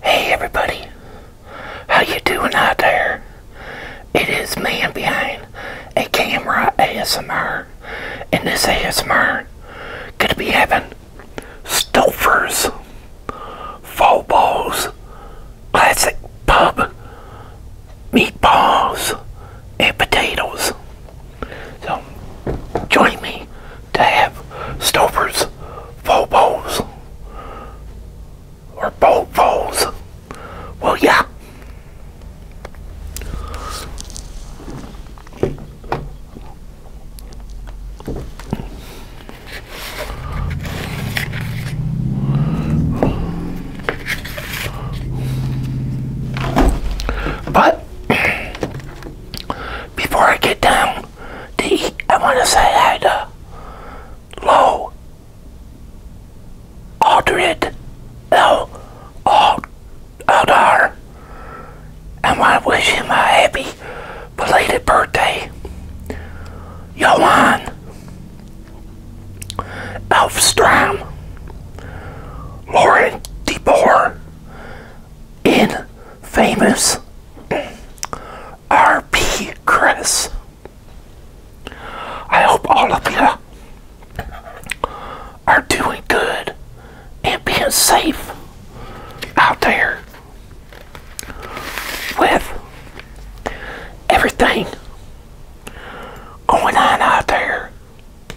Hey everybody, how you doing out there? It is man behind a camera ASMR, and this ASMR gonna be having Stouffer's Faux Classic Pub Meatballs and Potatoes. So join me to have Stover's Phobos or Bobos. Well, yeah. But before I get down I want to say hi to Low Aldred L. Ald Aldar. I want to wish him a happy belated birthday. Johan Elfstrom Lauren DeBoer in famous RP Chris. I hope all of you are doing good and being safe out there with everything going on out there.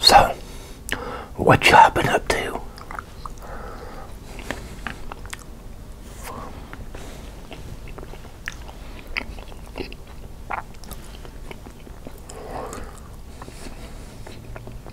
So, what you all been up to?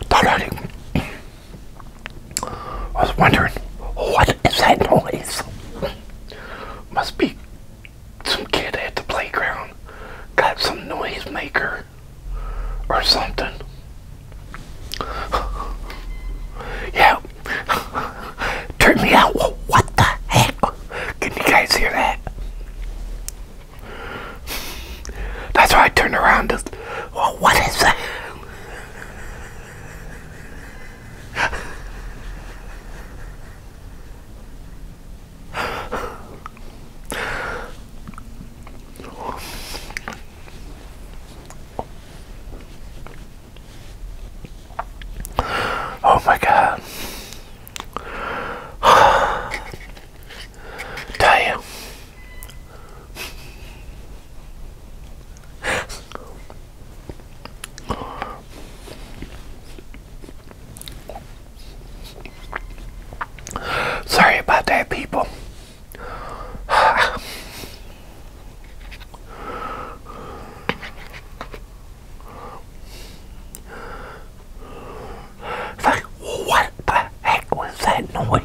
Thought I, I was wondering what is that noise? Must be some kid at the playground got some noise maker or something. yeah. Turn me out. What the heck? Can you guys hear that? That's why I turned around to. Well, what is that? Oh my god. Damn. Sorry about that, people like, what the heck was that noise?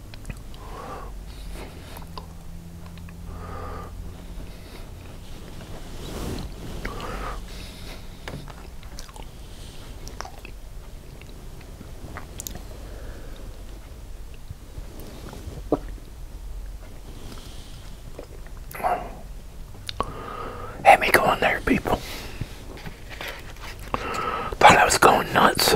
Had me going there, people. Thought I was going nuts.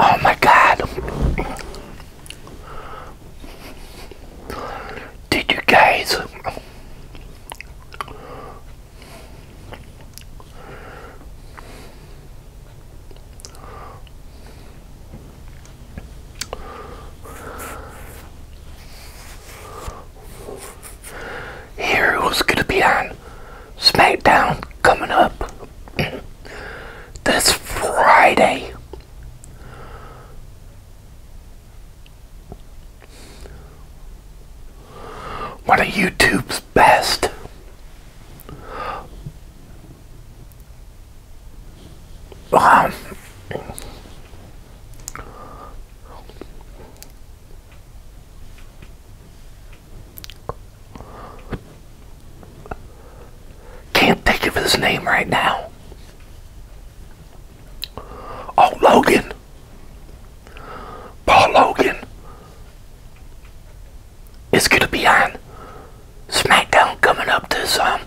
Oh my God. Did you guys here was going to be on SmackDown coming up this Friday. One of YouTube's best. Can't think of his name right now. Oh, Logan. Paul Logan. It's going to be on SmackDown coming up this um,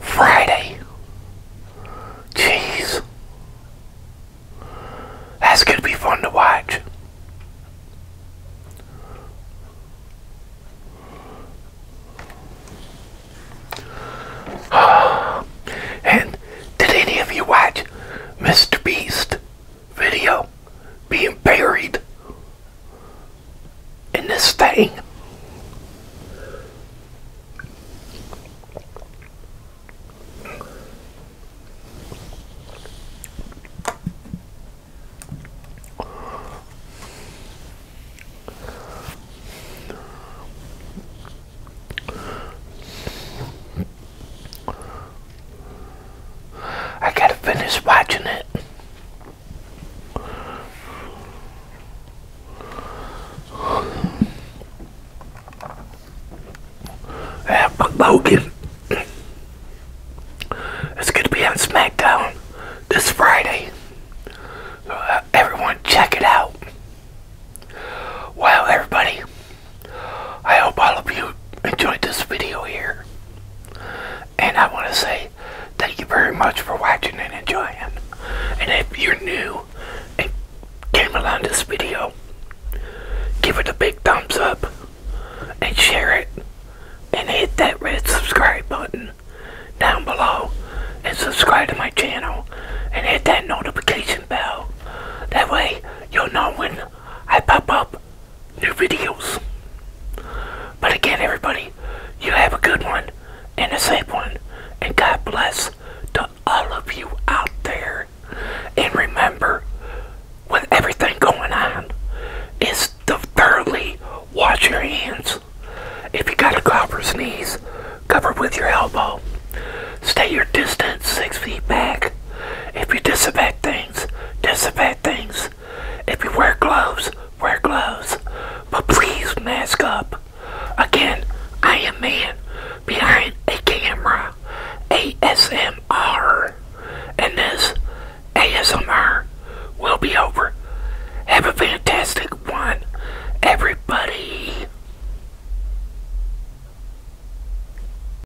Friday. Jeez. That's going to be fun to watch. and did any of you watch Mr. Beast? video being buried in this thing. I gotta finish watching it. Yeah, but Logan it's gonna be on SmackDown this Friday. Uh, everyone, check it out. Wow, everybody. I hope all of you enjoyed this video here. And I want to say thank you very much for watching and enjoying. And if you're new and came along this video, give it a big thumbs up and share it and hit that red subscribe button down below and subscribe to my channel and hit that notification bell. That way you'll know when I pop up new videos. But again, everybody, you have a good one and a safe one. And God bless to all of you out there. And remember, with everything going on, it's to thoroughly wash your hands. If you got to cough or sneeze, cover with your elbow. Stay your distance six feet back. If you disinfect things, things, disinfect things. If you wear gloves, wear gloves. But please mask up. Again, I am man behind a camera. ASMR. And this ASMR will be over. Have a fantastic one, everybody.